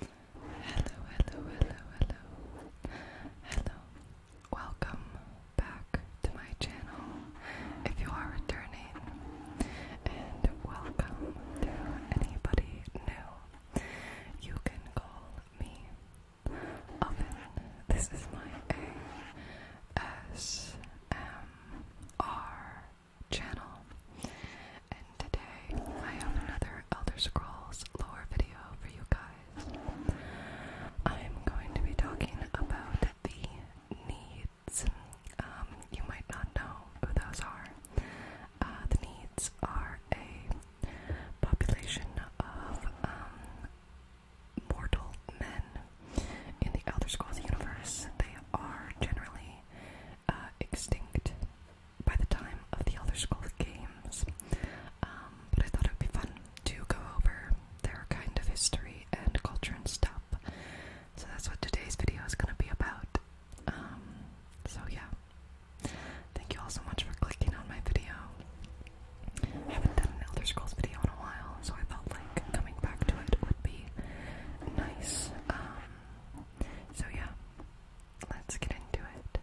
Hello, hello, hello, hello. Hello. Welcome back to my channel if you are returning. And welcome to anybody new. You can call me Oven. This is my A S M R channel. And today I have another Elder Scrolls lore video for you guys. I'm going to be talking about the needs. Um, you might not know who those are. Uh, the needs are a population of um, mortal men in the Elder Scrolls universe. They are generally uh, extinct by the time of the Elder Scrolls games. Um, but I thought it would be fun to go over their kind of history and culture and stuff. So that's what today's video is going to be about. Um, so yeah. Thank you all so much for clicking on my video. I haven't done an Elder Scrolls video in a while, so I felt like coming back to it would be nice. Um, so yeah, let's get into it.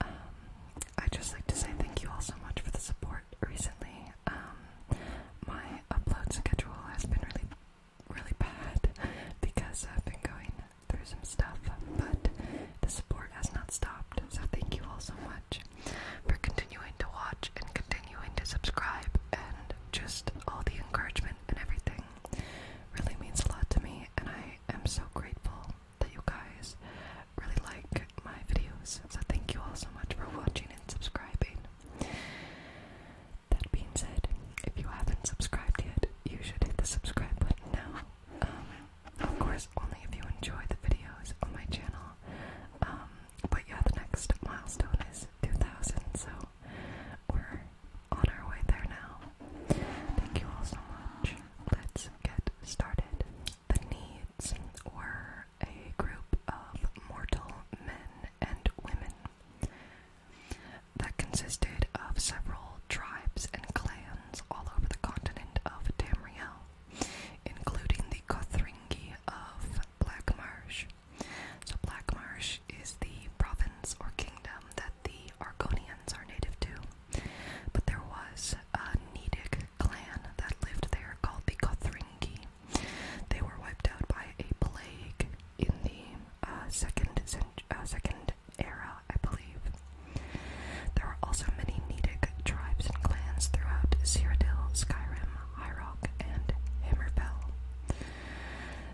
Um, I'd just like to say thank you all so much for the support recently. Um, my upload schedule has been really, really bad because I've been going through some stuff, but the support has not stopped. So thank you all so much for continuing to watch and continuing to subscribe and just all the encouragement and everything really means a lot to me, and I am so grateful that you guys really like my videos. So, thank you all so much for watching and subscribing. That being said, if you haven't subscribed yet, you should hit the subscribe button now. Um, of course, only if you enjoy the videos on my channel. Um, but yeah, the next milestone is 2,000, so we're on our way there now. Thank you all so much. Let's get started. The Needs were a group of mortal men and women that consisted of several tribes and clans all over the continent of Tamriel, including the Kothringi of Black Marsh. So Black Marsh is the province or kingdom that the Argonians are native to, but there was a Nidic clan that lived there called the Gothringi. They were wiped out by a plague in the uh, second uh, second era, I believe. There are also many Nidic tribes and clans throughout Cyrodiil, Skyrim, High and Hammerfell.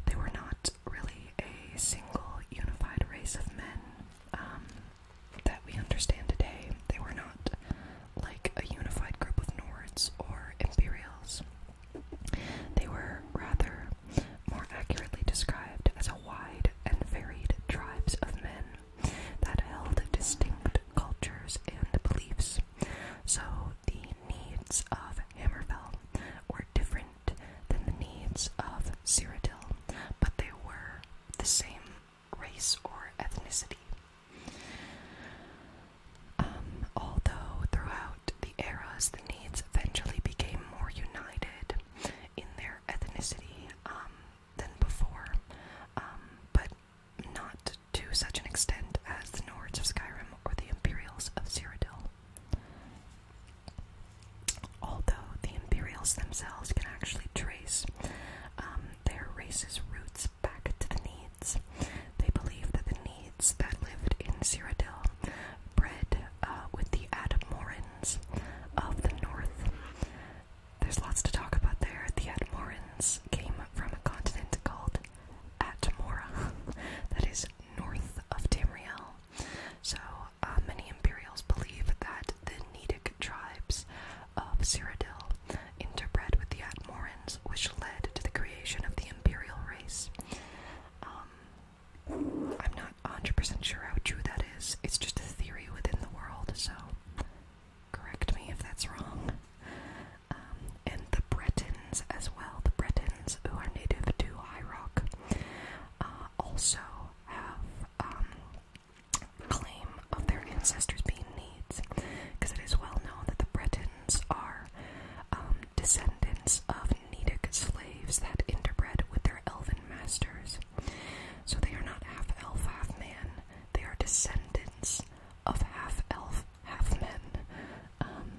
They were not really a single unified race of men um, that we understand today. They were not like a unified group of Nords or Imperials. They were rather more accurately described as a wide and varied tribes of men that held distinct cultures and beliefs. So the needs of Hammerfell were different than the needs of Cyrodiil, but they were the same race or ethnicity. Um, although throughout the eras the needs eventually became more united in their ethnicity um, than before, um, but not to such an extent as the Nords of Skyrim or the Imperials of Cyrodiil. Although the Imperials themselves can actually trace um, their race's roots back to the Needs, they believe that the Needs that lived in Cyrodiil bred uh, with the Admorans of the North. There's lots to talk about there. The Admorans came from a continent called Atmora, that is north of Tamriel. So uh, many Imperials believe that the Nidic tribes of Cyrodiil interbred with the Atmorans, which led to the creation of the Imperial race. Um, I'm not 100% sure how true that is. It's just a theory within the world, so correct me if that's wrong. Um, and the Breton as well. The Bretons, who are native to High Rock, uh, also have um, claim of their ancestors being Needs, because it is well known that the Bretons are um, descendants of Nedic slaves that interbred with their elven masters. So they are not half elf, half man. They are descendants of half elf, half men. Um,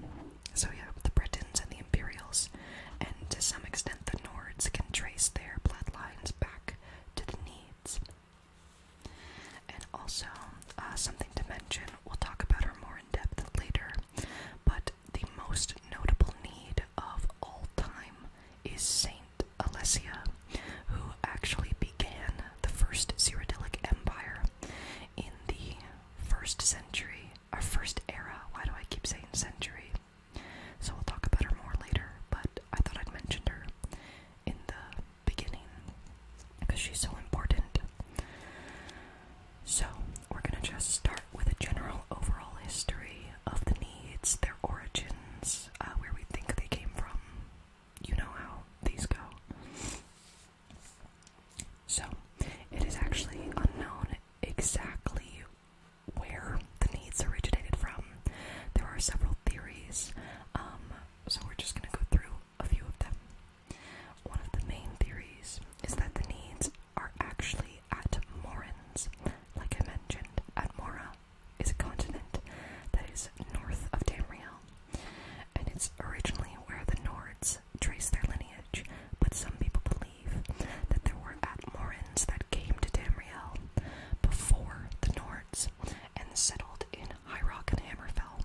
so yeah, the Britons and the Imperials, and to some extent the Nords, can trace their bloodlines back to the Needs. And also, uh, something to mention, we'll talk about her more in depth later, but the most notable need of all time is Saint Alessia, who actually began the first Cyrodiilic Empire in the first century our first era. Why do I keep saying century? So we'll talk about her more later, but I thought I'd mentioned her in the beginning because she's so important. So we're going to just start with a general overall history of the needs, their origins, uh, where we think they came from. You know how these go. So, it is actually unknown exactly where the needs originated from. There are several theories, um, so we're just going to go through a few of them. One of the main theories is that the needs are actually at Morin's. Like I mentioned, Atmora is a continent that is north of Tamriel, and it's originally where the Nords trace their lineage, but some people believe that there were Atmorans that came to Tamriel before the Nords and settled in High Rock and Hammerfell,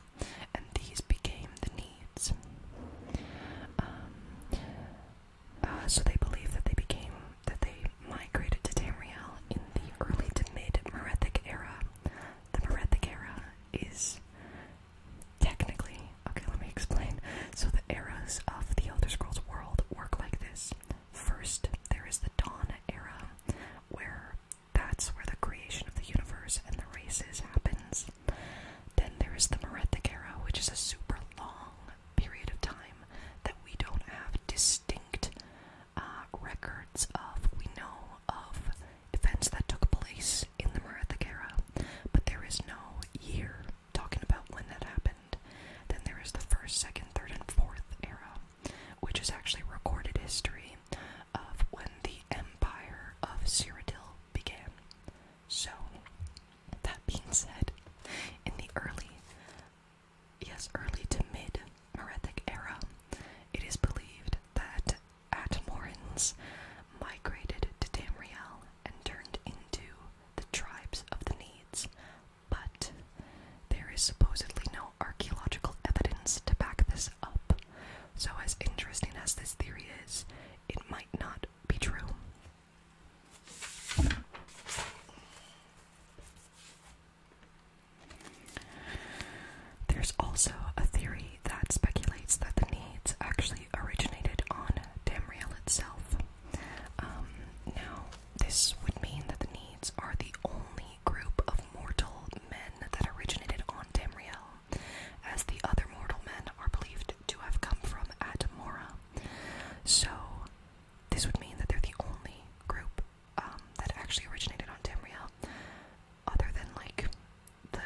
and these became the Needs. Um, uh, so they believe that they became that they migrated to Tamriel in the early to mid Merethic era. The Merethic era is Technically, okay, let me explain. So the eras of the Elder Scrolls world work like this. First, there is the Dawn era, where that's where the creation of the universe and the races happens. Then there is the Merethic era, which is a super long period of time that we don't have distinct uh, records of. We know of events that took place in the Merethic era, but there is no year talking about when that happened. Then there is the first, second, third, and fourth era, which is actually recorded history of when the empire of Cyrodiil began. So, that being said, in the early, yes, early to mid Merethic era, it is believed that Atmorans migrated to Tamriel and turned into the tribes of the Needs, but there is supposedly no archaeological evidence to back this up. So, as interesting as this theory is, it might not be true. There's also a theory that speculates that the needs actually originated on Damriel itself. Um, now, this would mean that the needs are the only group of mortal men that originated on Damriel, as the other mortal men are believed to have come from Atamora. So, this would mean that they're the only group um, that actually originated on Tamriel, other than like the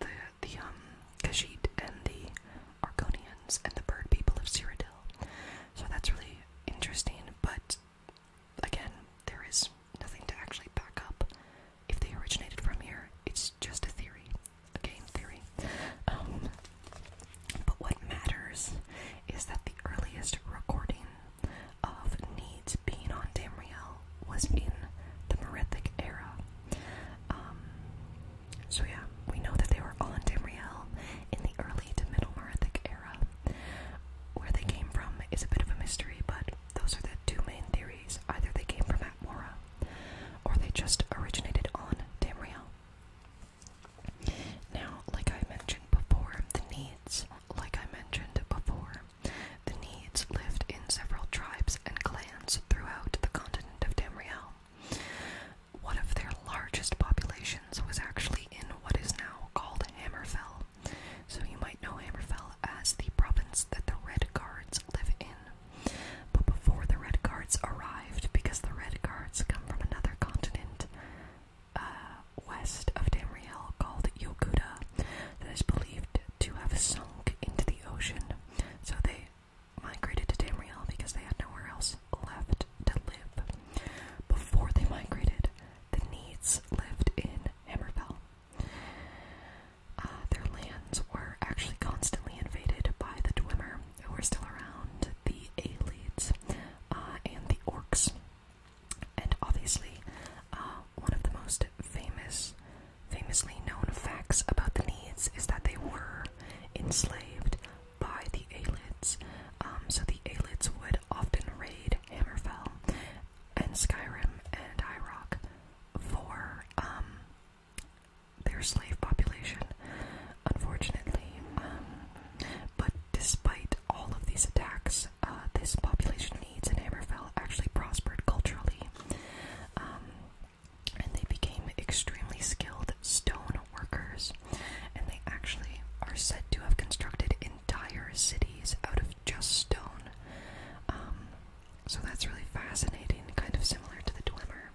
the the um Khajiit and the Argonians and the bird people of Cyrodiil. So that's really interesting, but again, there is nothing to actually back up if they originated from here. It's just a theory, again, theory. Um, but what matters is that the earliest recording of Needs being on Tamriel was in the Merethic era, um, so yeah, we know that they were on in Tamriel in the early to middle Merithic era. Where they came from is a bit of a mystery, but those are the two main theories. Either they came from Atmora, or they just originated on Tamriel. Now, like I mentioned before, the Needs, like I mentioned before, the Needs lived in several tribes and clans throughout the continent of Tamriel. One of their largest populations was actually in what is now called Hammerfell. So you might know Hammerfell as the province that the Red Guards live in. But before the Red Guards arrived, because the Red Guards come from another continent uh, west of Tamriel called Yokuda, that is believed to have sunk into the ocean. So they migrated to Tamriel because they had nowhere else left to live. Before they migrated, the Needs lived in Hammerfell. Uh, their lands were actually constantly invaded by the Dwemer, who were still around, the Aelids, uh, and the Orcs. And obviously, uh, one of the most famous Famously known facts about the Needs is that they were enslaved by the Aelids. Um, so the Aelids would often raid Hammerfell and Skyrim and High Rock for um, their slave population, unfortunately. Um, but despite all of these attacks, uh, this population needs in Hammerfell actually prospered culturally and they became extremely skilled stone workers, and they actually are said to have constructed entire cities out of just stone. Um, so that's really fascinating, kind of similar to the Dwemer.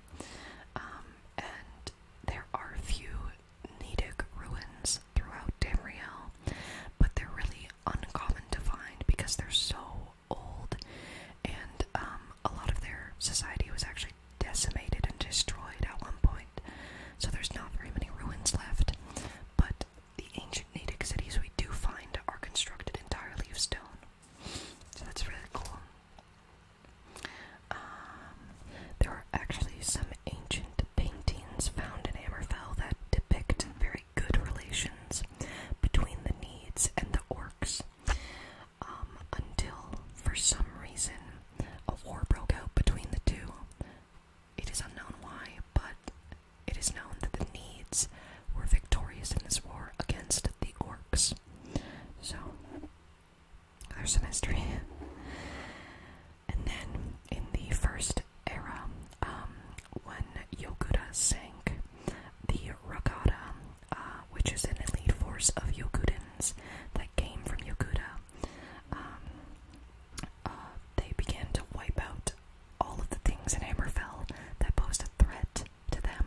Um, and there are few Nedic ruins throughout Tamriel, but they're really uncommon to find because they're so old, and um, a lot of their society was actually decimated and destroyed at one point. So there's not very many ruins left. But the ancient Natick cities we do find are constructed entirely of stone. So that's really cool. Um, there are actually some ancient paintings found in Hammerfell that depict very good relations between the Needs and the Orcs. Um, until, for some reason, a war broke out between the two. It is unknown why, but it is known that the Needs were victorious in this war against the Orcs. So, there's some history. And then, in the first era, um, when Yogura sank, the regatta uh, which is an elite force of Yokudans that came from Yokuda. Um, uh, they began to wipe out all of the things in Hammerfell that posed a threat to them.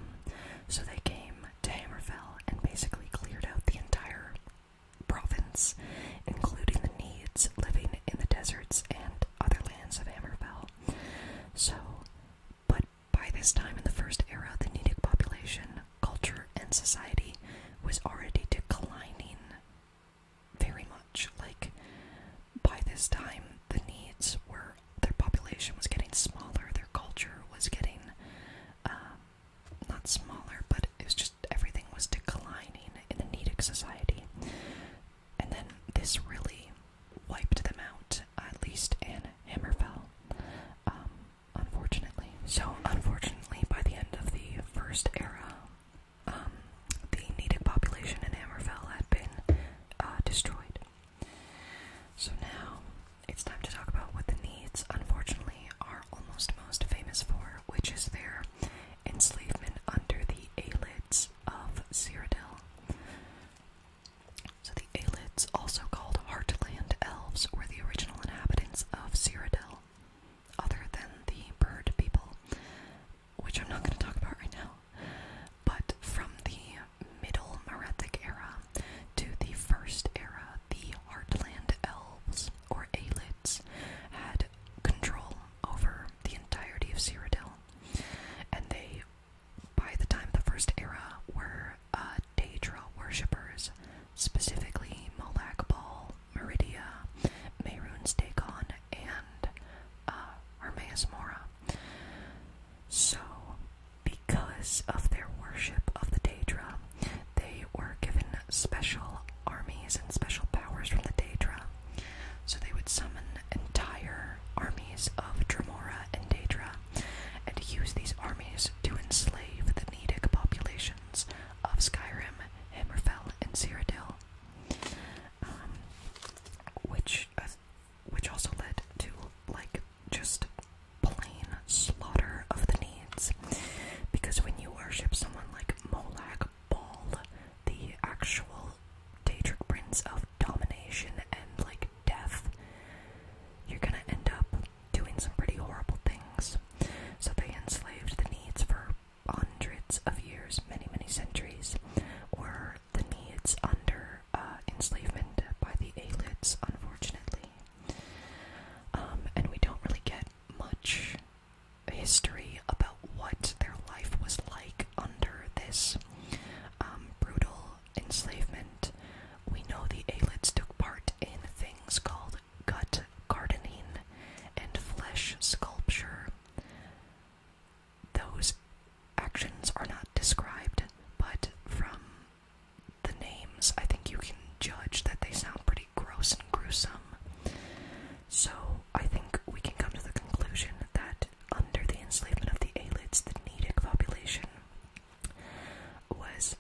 So they came to Hammerfell and basically cleared out the entire province, including the needs living in the deserts and other lands of Hammerfell. So but by this time in the first era, the Nidic population, culture, and society was already declining very much. Like, by this time, the needs were, their population was getting smaller, their culture was getting, um, not smaller, but it was just everything was declining in the Nidic society. And then this really wiped them out, at least in Hammerfell, um, unfortunately. So, unfortunately, by the end of the first era, um, the Nedic population in Hammerfell had been uh, destroyed. So now, it's time to talk about what the Needs, unfortunately, are almost most famous for, which is their enslavement under the eyelids of Cyrodiil. So the Aelids, also called Heartland Elves, were the original inhabitants of Cyrodiil, other than the bird people, which I'm not going to talk about right now. But from the Middle Merethic era to the First era, the Heartland Elves, or Aelids, had control over the entirety of Cyrodiil, and they by the time the First Era, were uh, Daedra worshippers, specifically Malak Bal, Meridia, Merun's Dagon, and uh, Mora. So, because of their worship of the Daedra, they were given special armies and special powers from the Daedra. So they would summon entire armies of Tremora and Daedra and use these armies to enslave the Nedic populations of Skyrim, Hammerfell, and Cyrodiil, um, which uh, which also led to like just plain slaughter of the needs, because when you worship someone like Molag Ball, the actual Daedric prince of domination and like death, you're gonna end up doing some pretty horrible things. So they enslaved the needs for hundreds of years, many, many centuries, Were the needs under uh, enslavement by the Alids, unfortunately. Um, and we don't really get much history about what their life was like under this um, brutal enslavement, we know the Aelids took part in things called gut gardening and flesh sculpture. Those actions are not described, but from the names, I think you can judge that they sound pretty gross and gruesome. So I think we can come to the conclusion that under the enslavement of the Alids, the Nedic population was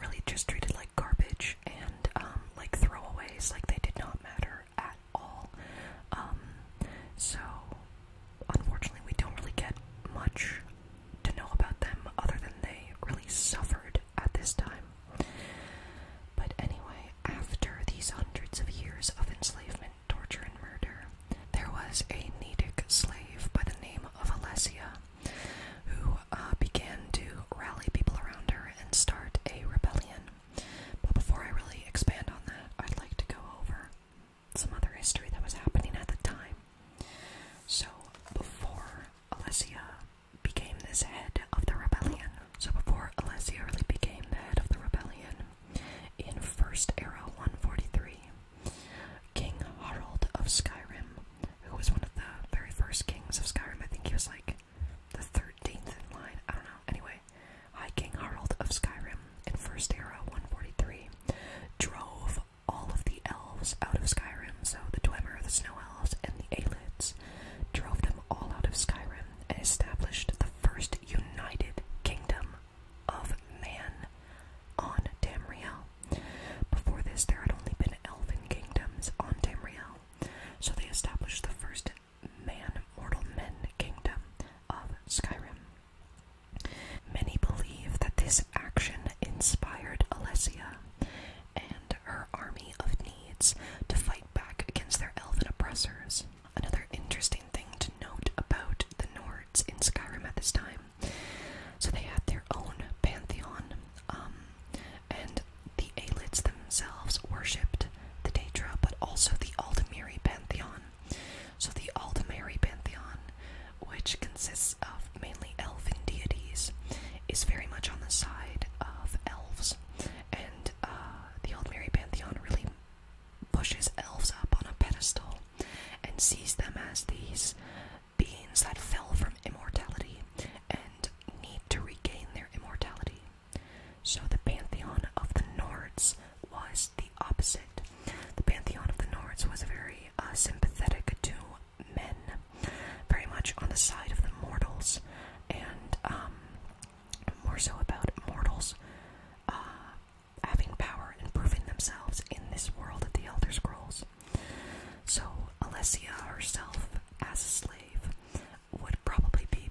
really just treated like garbage and um, like throwaways, like they did not matter at all. Um, so, unfortunately, we don't really get much to know about them other than they really suffered at this time. But anyway, after these hundreds of years of enslavement, torture, and murder. There was a Nedic slave by the name of Alessia who uh, began to rally people around her and start a rebellion. But before I really expand on that, I'd like to go over some other history that was happening at the time. So, before Alessia became this head of the rebellion, so before Alessia really became the head of the rebellion, in First Era 143, King Harald of Skyrim, who was one of the very first kings of Skyrim. I think he was like the 13th in line. I don't know. Anyway, High King Harald of Skyrim in First Era 143 drove all of the elves out of Skyrim. So the Dwemer, the Snow Elves, and the Aelids drove them all out of Skyrim and established the first united kingdom of Man on Tamriel. Before this, there had only been elven kingdoms on Tamriel, so they established the first man mortal men kingdom of Skyrim. Many believe that this action inspired Alessia and her army of needs to fight back against their elven oppressors. Another interesting thing to note about the Nords in Skyrim at this time. So they had their own pantheon, um, and the Aelids themselves worshipped the Daedra, but also the Aldemiri pantheon. So the Aldemiri pantheon, which consists of mainly elfin deities, is very much on the side of elves, and uh, the Aldemiri pantheon really pushes elves up on a pedestal and sees them as these beings that fell from immortality and need to regain their immortality. So the pantheon of the Nords was the opposite. The pantheon of the Nords was very uh, sympathetic to men, very much on the side of the mortals, and um, more so about mortals uh, having power and proving themselves in this world of the Elder Scrolls. So, Alessia herself, as a slave, would probably be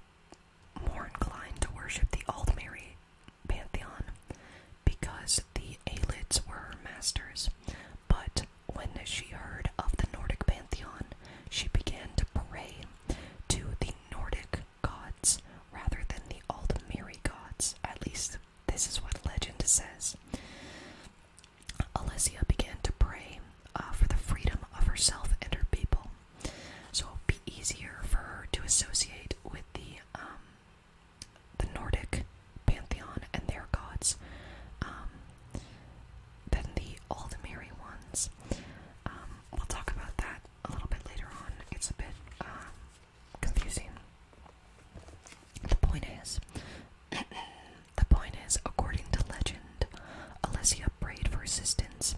more inclined to worship the Aldmeri pantheon because the Aelids were her masters. But when she heard of the Nordic pantheon, she began to pray to the Nordic gods rather than the Aldmeri gods. At least this is what legend says. Alessia began to pray uh, for the freedom of herself and her people, so it would be easier for her to associate with the um, the Nordic pantheon and their gods um, than the Aldemiri ones. Um, we'll talk about that a little bit later on. It's a bit confusing. The point is, the point is, according to legend, Alessia prayed for assistance,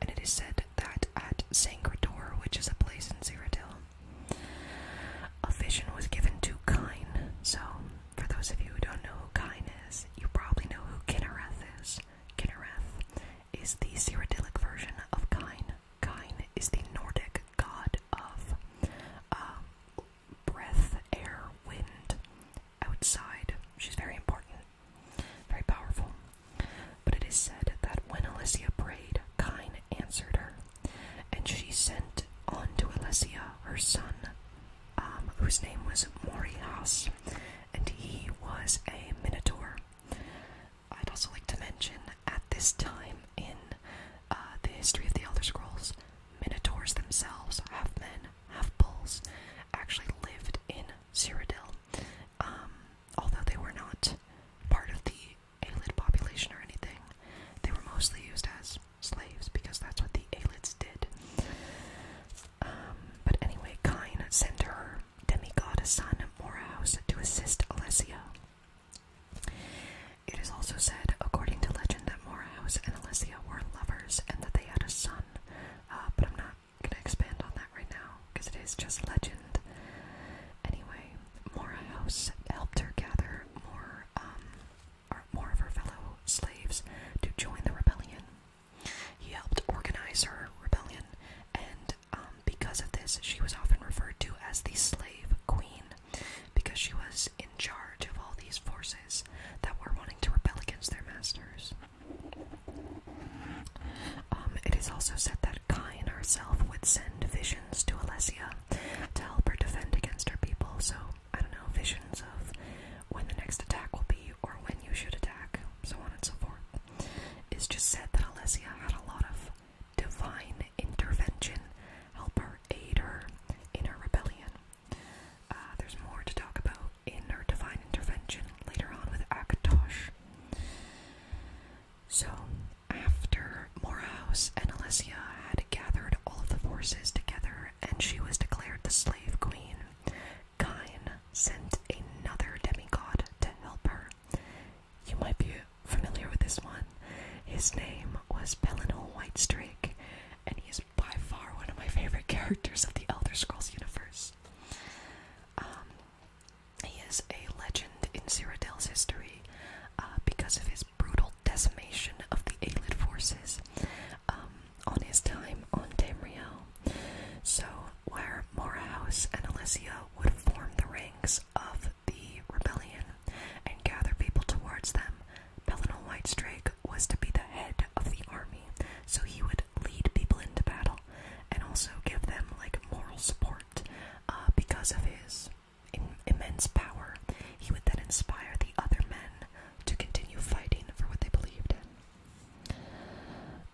and it is said that at Sangrador, which is a place in Cyrodiil, a vision was given to Kine. So, for those of you who don't know who Kine is, you probably know who Kinnereth is. Kinnereth is the Cyrodiilic version of Kine. Kine is the Nordic god of um, breath, air, wind, outside. She's very important, very powerful. But it is said that when Alessia prayed, Kine answered her, and she sent on to Alessia her son, um, whose name was Morias, and he was a minotaur. I'd also like to mention at this time in uh, the history of the Elder Scrolls, Minotaurs themselves, half men, half bulls, actually lived in Cyrodiil. Um, although they were not part of the Aelid population or anything, they were mostly used as slaves because that's what the Aelids did. Um, but anyway, Kine sent demigod Asana Morehouse to assist Alessia. It is also said, according to legend, that Morehouse and Alessia were lovers and that they had a son, uh, but I'm not going to expand on that right now because it is just legend. Anyway, Morehouse helped her gather more, um, more of her fellow slaves to join the rebellion. He helped organize her rebellion and um, because of this, she was often referred to as the slave queen because she was in charge of all these forces that were wanting to rebel against their masters. Um, it is also said that Kai Kine herself would send visions to Alessia to help her defend against her people. So, I don't know, visions of when the next attack will be or when you should attack, so on and so forth. It's just said that Alessia had a lot of divine intervention help her aid her in her rebellion. Uh, there's more to talk about in her divine intervention later on with Akatosh. So, after Morehouse and Alessia had gathered all of the forces together and she was declared the slave queen, Kain sent another demigod to help her. You might be familiar with this one. His name was Pellinol Whitestrake, and he is by far one of my favorite characters of the Elder Scrolls universe. Um, he is a legend in Cyrodiil's history uh, because of his brutal decimation of the Aelid forces um, on his time on Tamriel. So, where Mora House and Alessia would form the rings of the rebellion and gather people towards them. White Whitestrake was to be the head of the army, so he would lead people into battle and also give them like moral support uh, because of his immense power. He would then inspire the other men to continue fighting for what they believed in.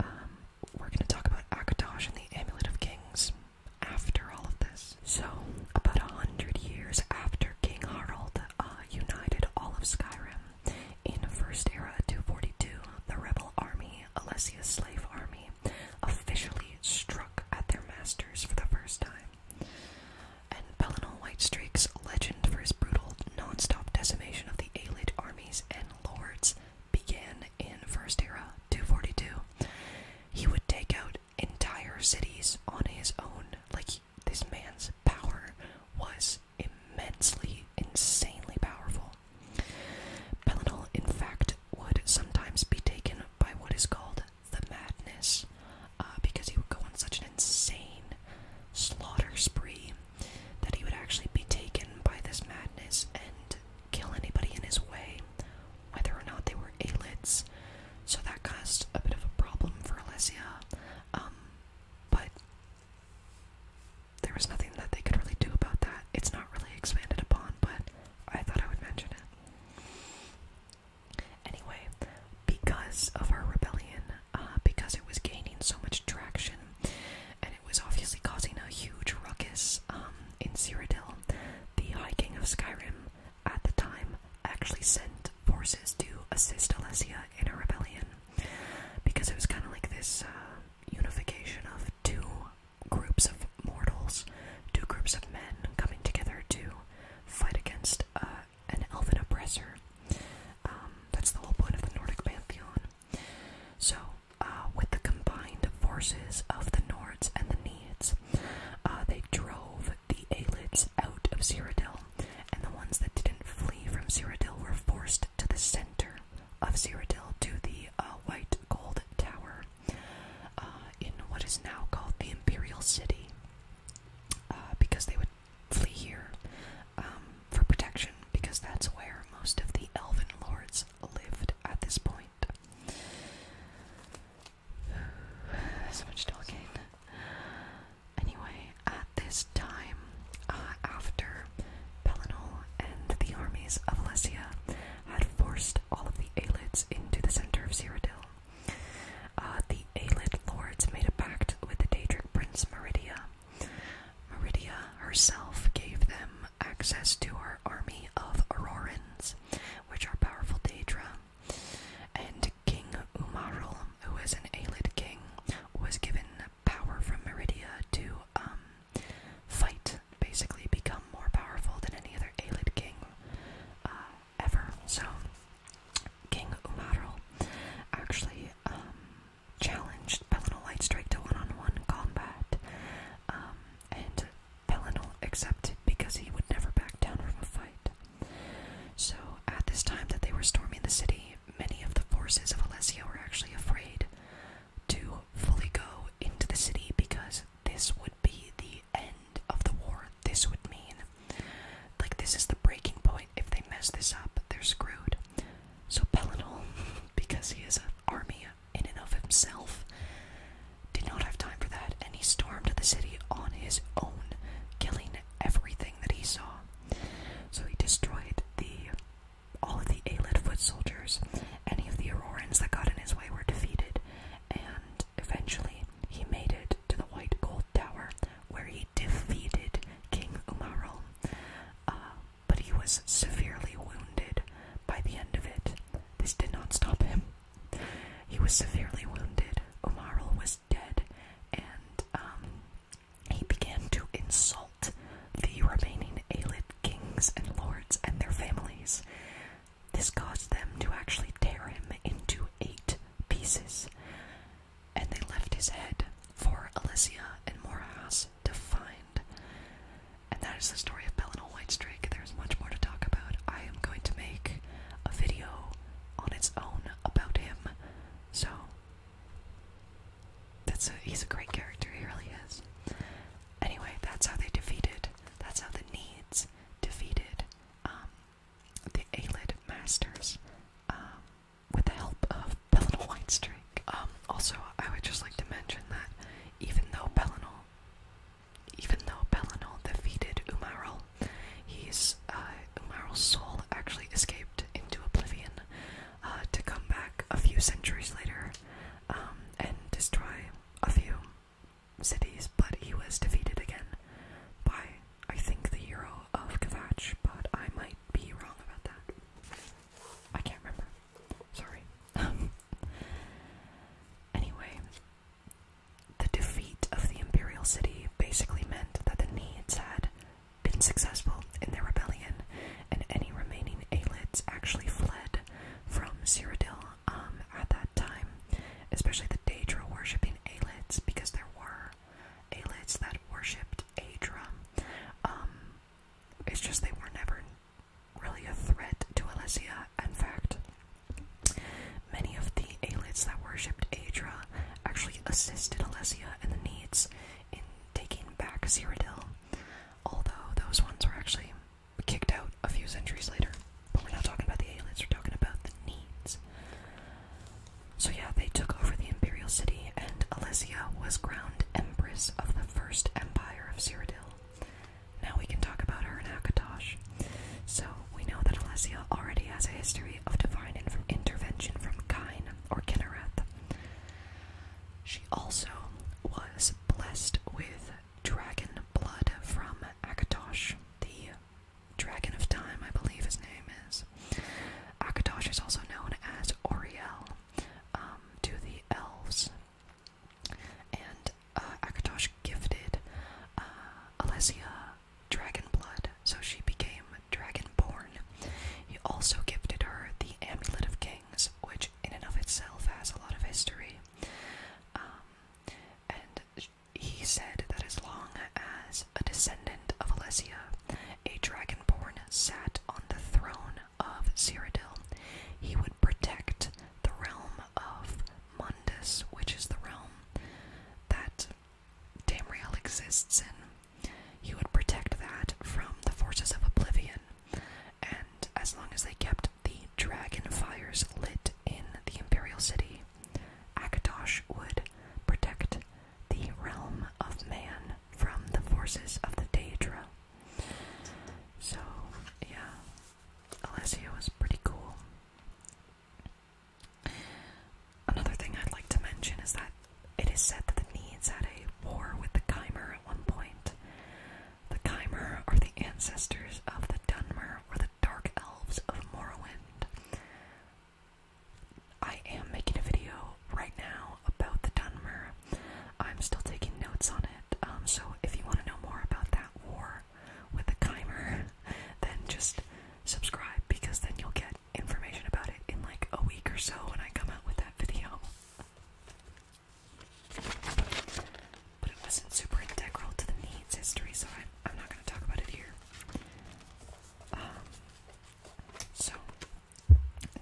Um, we're going to talk about Akatosh and the Amulet of Kings after all of this. So, about a hundred years after King Harald uh, united all of Skyrim, in First Era 242, the rebel army, Alessia's slave army, officially struck at their masters for the first time. And Pelennor Whitestreak's legend for his brutal, non-stop decimation of the elite armies and lords began in First Era 242, he would take out entire cities on his own. Like, this man's power was immensely, insanely powerful. Pellinol, in fact, would sometimes be taken by what is called the madness, uh, because he would go on such an insane slaughter spree that he would actually be taken by this madness and kill anybody in his way, whether or not they were Aelids. So that caused a bit of a problem for Alessia. Um, but there was nothing that they could really do about that. It's not really expanded upon, but I thought I would mention it. Anyway, because of our rebellion, uh, because it was gaining so much traction, and it was obviously causing a huge ruckus, um, in Cyrodiil, the High King of Skyrim, at the time, actually sent forces to assist Alesia in a rebellion. Because it was kind of like this uh, unification of two groups of mortals, two groups of men coming together to fight against uh, an elfin oppressor. Um, that's the whole point of the Nordic pantheon. So uh, with the combined forces of the Nords and the Needs. Uh, they drove the Aelids out of Cyrodiil, and the ones that didn't flee from Cyrodiil were forced to the center of Cyrodiil to the uh, White Gold Tower in what is now called the Imperial City, because they would flee here um, for protection, because that's where most of the Elven lords lived at this point. so much talking. Anyway, at this time, uh, after Pelennor and the armies of Alessia had forced all of the Aelids into the center of Cyrodiil, uh, the Aelid lords made a pact with the Daedric prince Meridia. Meridia herself gave them access to our army of Aurorans, which are powerful Daedra, and King Umarul, who is an Aelid king, was given power from Meridia to um, fight, basically become more powerful than any other Aelid king uh, ever. So, King Umarul actually um, challenged Pelinal Strike to one on one combat. Um, and Pellinol accepted because he would never back down from a fight. So, at this time that they were storming the city, many of the forces of Alessia were actually afraid to fully go into the city because this would be the end of the war. This would mean, like, this is the breaking point. If they mess this up, they're screwed. So Pellinol, because he is an army in and of himself, did not have time for that, and he stormed the city on his own, killing everything that he saw. So he destroyed the all of the Aelid foot soldiers. Any of the Aurorans that got in his way were defeated, and eventually he made it to the White Gold Tower, where he defeated King Umarol. Uh, but he was severely wounded by the end of it. This did not stop him. He was severely wounded. Omarl was dead, and um, he began to insult the remaining Aelid kings and lords and their families. This caused them to actually tear him into eight pieces, and they left his head for Elysia and Moras was defined. And that is the story of Bellinal Whitestrake. There's much more to talk about. I am going to make a video on its own about him. So that's he's a great character, he really is. Anyway, that's how they defeated that's how the needs defeated um the Aelid masters um, with the help of Bellinal White Um also I would just like to mention that even though Belinol, even though Belinol defeated Umaril, his uh, soul actually escaped into oblivion uh, to come back a few centuries later um, and destroy a few cities. But he was defeated again by, I think, the hero of Kavach. But I might be wrong about that. I can't remember. Sorry. Anyway, the defeat of the Imperial City basically meant that the Needs had been successful in their rebellion, and any remaining Aelids actually fled from Cyrodiil um, at that time, especially the Daedra worshipping Aelids, because there were Aelids that worshipped Aedra. Um, it's just they were never really a threat to Alesia. In fact, many of the Aelids that worshipped Aedra actually assisted Alesia and the Needs in taking back Cyrodiil, although those ones were actually kicked out a few centuries later. But we're not talking about the Aelids, we're talking about the Needs. So yeah, they took over the Imperial City, and Alesia was crowned Empress of the First Empire of Cyrodiil. Now we can talk about her and Akatosh. So, we know that Alessia already has a history of divine intervention from Kain or Kinnereth. She also was blessed with dragon blood from Akatosh, the dragon of time, I believe his name is. Akatosh is also known as Oriel um, to the elves and uh, Akatosh gifted uh, Alessia dragon blood, so she became Dragonborn. He also gifted her the Amulet of Kings, which in and of itself has a lot of history. Um, and he said that as long as a descendant of Alessia, a Dragonborn sat on the throne, of Cyrodiil, he would protect the realm of Mundus, which is the realm that Tamriel exists in. He would protect that from the forces of Oblivion, and as long as they kept the dragon fires lit in the Imperial City, Akatosh would protect the realm of man from the forces of the Daedra. So, yeah, Alessia was pretty cool. Another thing I'd like to mention is that it is said that the Needs had a war with the Khmer at one point. The Khmer are the ancestors of the Dunmer or the Dark Elves of Morrowind. I am making a video right now about the Dunmer. I'm still taking notes on it, um, so if you want to know more about that war with the Chimer, then just subscribe because then you'll get information about it in like a week or so when I come out with that video. But it wasn't super integral to the needs history, so I'm, not going to talk about it here. Um, so,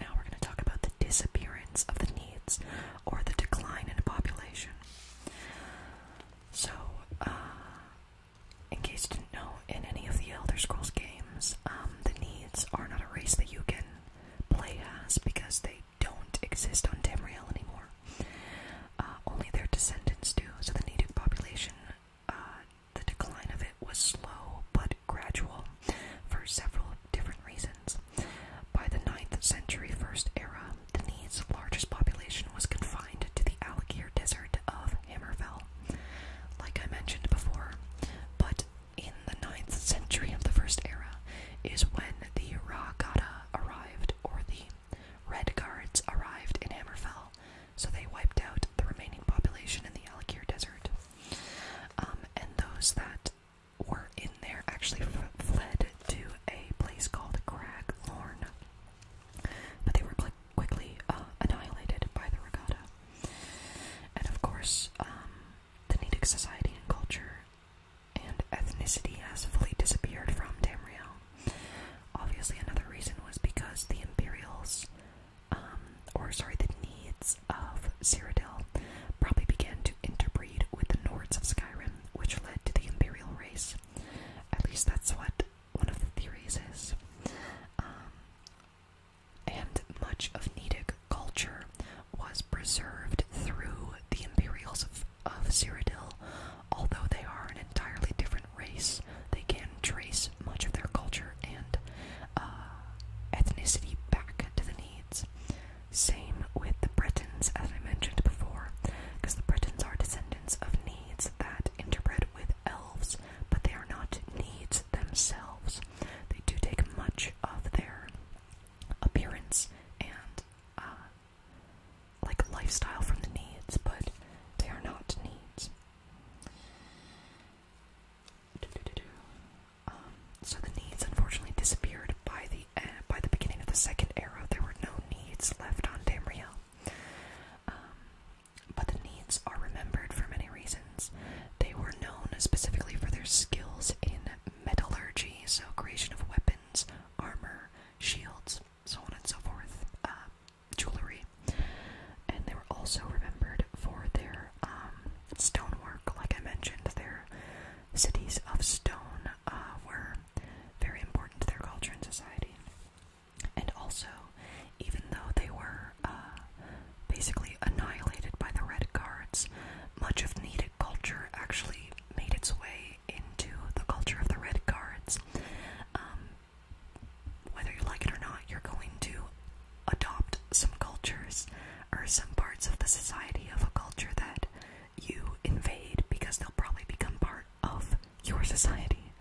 now we're going to talk about the disappearance of the needs or the decline in a population. So, uh, in case you didn't know, in any of the Elder Scrolls games, um, the needs are not a race that you can play as because they don't exist on Tamriel anymore. Uh, only their descendants do, so the native population, uh, the decline of it was slow but gradual for several different reasons. By the 9th century First Era, the Need's largest population was confined to the Alakir Desert of Hammerfell, like I mentioned before. But in the 9th century of the First Era is when the Ragada arrived, or the Red Guards arrived in Hammerfell, so they wiped out the remaining population in the Alakir Desert. Um, and those that were in there actually fled to a place called Crag Lorn, but they were quickly uh, annihilated by the regatta. And of course, um, the Nedic society and culture and ethnicity has fully disappeared from Tamriel. Obviously, another reason was because the Imperials, um, or sorry, the Needs of Cyrodiil probably began to interbreed with the Nords of Skyrim, which led to the Imperial race. At least that's what one of the theories is. Um, and much of Nidic culture was preserved through the Imperials of, of Cyrodiil. Although they are an entirely different race, they can trace much of their culture and uh, ethnicity back to the Needs. Same with the Britons, as I mentioned before, because the Britons are descendants of Needs that interbred with elves, but they are not Needs themselves. They do take much of their appearance and uh, like lifestyle from the Needs, but they are not Needs. Um, so the needs unfortunately disappeared by the uh, by the beginning of the second era. There were no needs left on Tamriel. Um, but the needs are remembered for many reasons. They were known specifically for their skills in metallurgy, so creation of weapons, armor, shields, so on and so forth, uh, jewelry. And they were also remembered for their um, stonework, like I mentioned, their cities of stone uh, were very important to their culture and society. And also, even though they were uh, basically annihilated by the Red Guards, much of Natick culture actually made its way into the culture of the Red Guards. Um, whether you like it or not, you're going to adopt some cultures are some parts of the society of a culture that you invade because they'll probably become part of your society.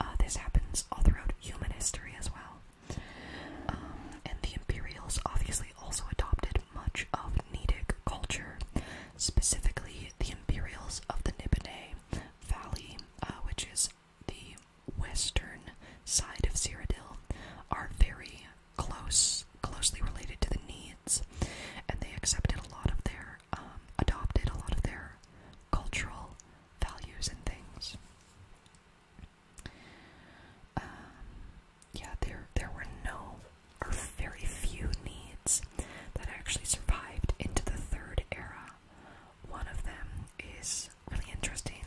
Uh, this happens all throughout human history as well. Um, and the Imperials obviously also adopted much of Nidic culture, specifically the Imperials of the Nibene Valley, uh, which is the western side of Cyrodiil, are very close, closely related to the needs, and they accepted a lot of their, um, adopted a lot of their cultural values and things. Um, yeah, there there were no or very few needs that actually survived into the third era. One of them is really interesting.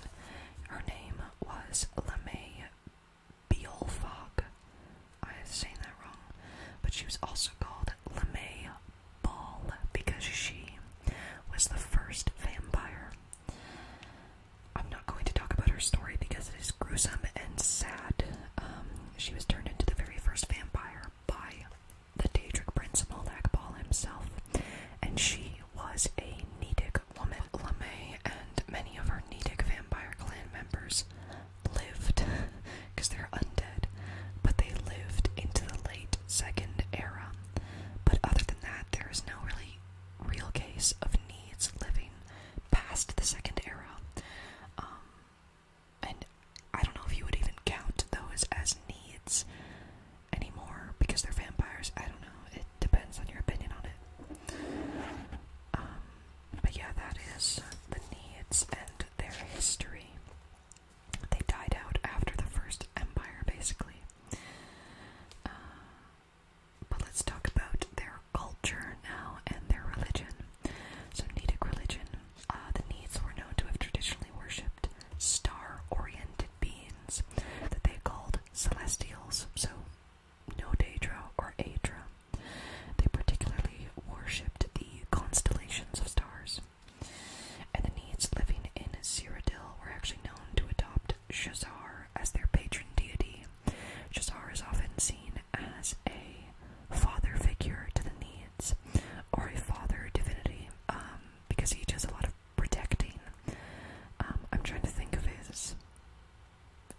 Her name was LeMay Beelfog. I have that wrong. But she was also called LeMay Ball because she was the first vampire. I'm not going to talk about her story because it is gruesome and sad. Um, she was turned into the very first vampire by the Daedric Prince Moldak Ball himself, and she was a Nidic woman LeMay and many of our Nedic vampire clan members lived, they're undead, but they lived into the late second era. But other than that, there is no really real case of needs living past the second era. Um, and I don't know if you would even count those as needs anymore because they're vampires. I don't know depends on your opinion on it. Um, but yeah, that is the Needs and their history. They died out after the First Empire, basically. Uh, but let's talk about their culture now and their religion. So, Nedic religion. Uh, the Needs were known to have traditionally worshipped star oriented beings that they called celestials. So, Nodadra or Adra. They particularly worshipped the constellations of stars. And the Needs living in Cyrodiil were actually known to adopt Shazar as their patron deity. Shazar is often seen as a father figure to the Needs, or a father divinity, um, because he does a lot of protecting. Um, I'm trying to think of his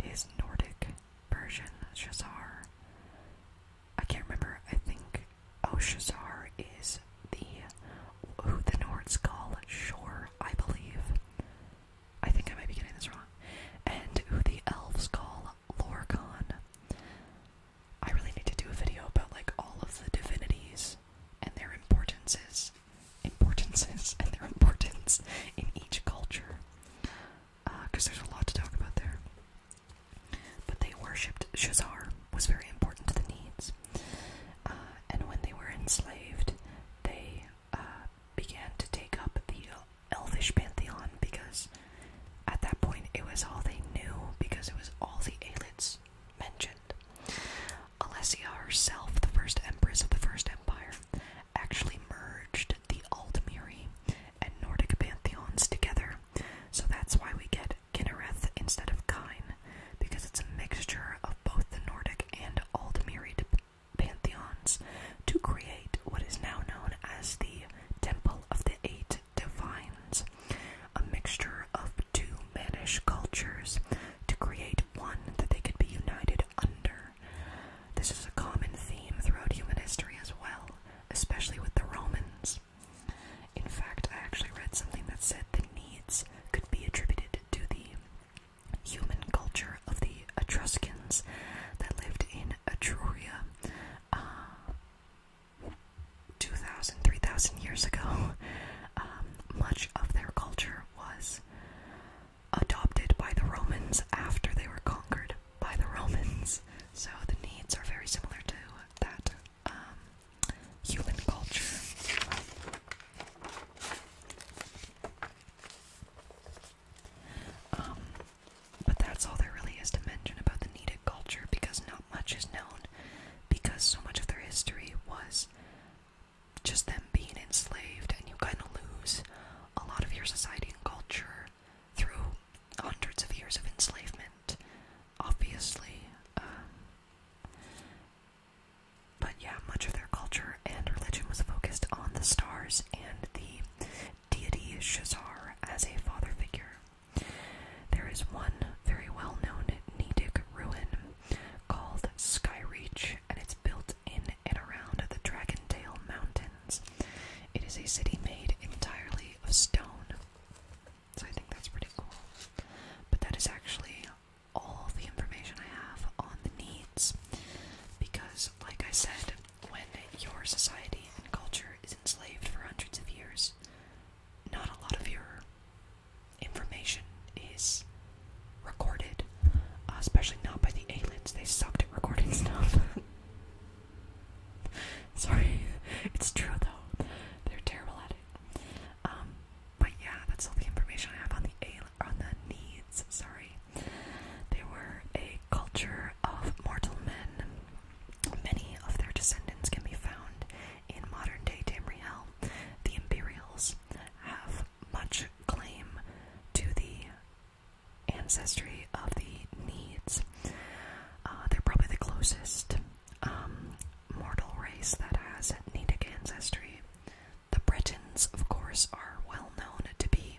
is Nordic Persian Shazar. I can't remember, I think oh Shazar is the who the Nords call Shore, I believe. I think I might be getting this wrong. And who the elves call Lorcan. I really need to do a video about like all of the divinities and their importances importances and their importance in each culture. Because uh, there's a lot to talk about there. But they worshipped Shazar, was very important to the needs. Uh, and when they were enslaved, they uh, began to take up the elvish pantheon because at that point it was all they knew because it was all the Aelids mentioned. Alessia herself, the first empress of the First Empire, actually merged the Aldmiri and Nordic pantheons together, so that's why we get Kinnereth instead of Kine, because it's a mixture of both the Nordic and Aldmiri pantheons to create what is now known as the Temple of the Eight Divines, a mixture of two Manish cultures to create one that they could be united under. This is a common theme throughout human history as well, especially with the Romans. In fact, I actually read something that said the needs could be attributed to the human culture of the Etruscans that lived in Etruria uh, 2,000, years ago. Um, much of their culture was adopted by the Romans after they were conquered by the Romans. So the needs are very similar to that um, human culture. Um, but that's all there really is to mention about the Nedic culture because not much is known because so much of their history was just them being enslaved, and you kind of lose a lot of your society and culture through hundreds of years of enslavement, obviously. Uh, but yeah, much of their culture and religion was focused on the stars and the deity Shazar as a father figure. There is one very well known Nidic ruin called Skyreach and it's built in and around the Dragon Tail Mountains. It is a city made entirely of stone. So I think that's pretty cool. But that is actually all the information I have on the needs. Because, like I said, when your society and culture is enslaved for hundreds of years, not a lot of your information is recorded, uh, especially not by the aliens. They sucked at recording stuff. Sorry, it's true though. They're terrible at it. Um, but yeah, that's all the information I have on the a on the needs. Sorry, they were a culture of mortal men. Many of their descendants can be found in modern-day Tamriel. The Imperials have much claim to the ancestry of the Needs. Uh, they're probably the closest um, mortal race that has Nedic ancestry. The Britons, of course, are well known to be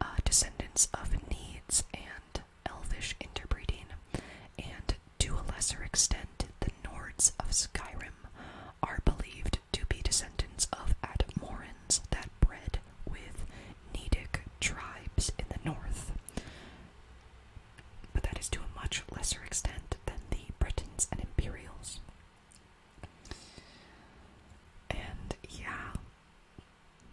uh, descendants of Needs and Elvish interbreeding, and to a lesser extent, the Nords of Skyrim are believed to be descendants of Atmorans that bred with Nedic tribes in the north. But that is to a much lesser extent than the Britons and Imperials. And yeah,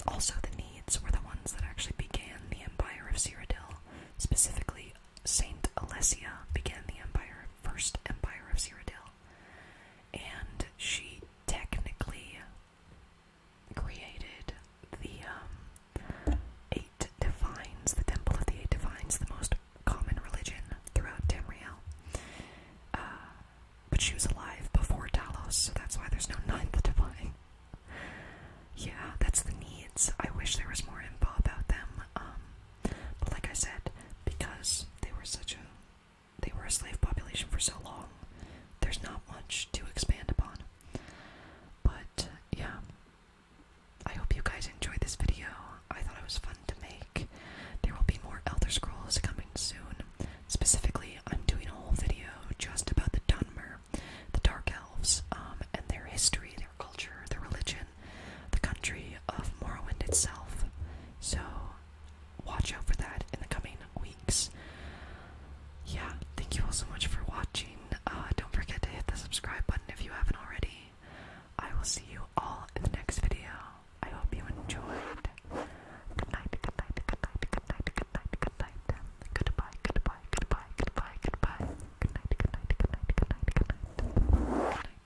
also the Needs were the ones that actually began the Empire of Cyrodiil. Specifically, Saint Alessia began the Empire, first Empire of Cyrodiil, and she technically created the um, eight divines, the temple of the eight divines, the most common religion throughout Tamriel. Uh, but she was alive before Talos, so that's why there's no ninth divine. Yeah, that's the needs. I wish there was more info about them. Um, but like I said, because they were such a they were a slave population for so long, there's not much to expand upon. But yeah. I hope you guys enjoyed this video. I thought it was fun to make. There will be more Elder Scrolls coming soon. Specifically, I'm doing a whole video just about the Dunmer, the Dark Elves, um, and their history, their culture, their religion, the country of Morrowind itself. So watch out for that in the coming weeks. Yeah, thank you all so much for watching. Uh, don't forget to hit the subscribe button if you haven't already. I will see you all in the next video. I hope you enjoyed. Good night, good night, good night, good night, good night, good night. Goodbye, goodbye, goodbye, goodbye, goodbye. good night, good night, good night, good night. Good night.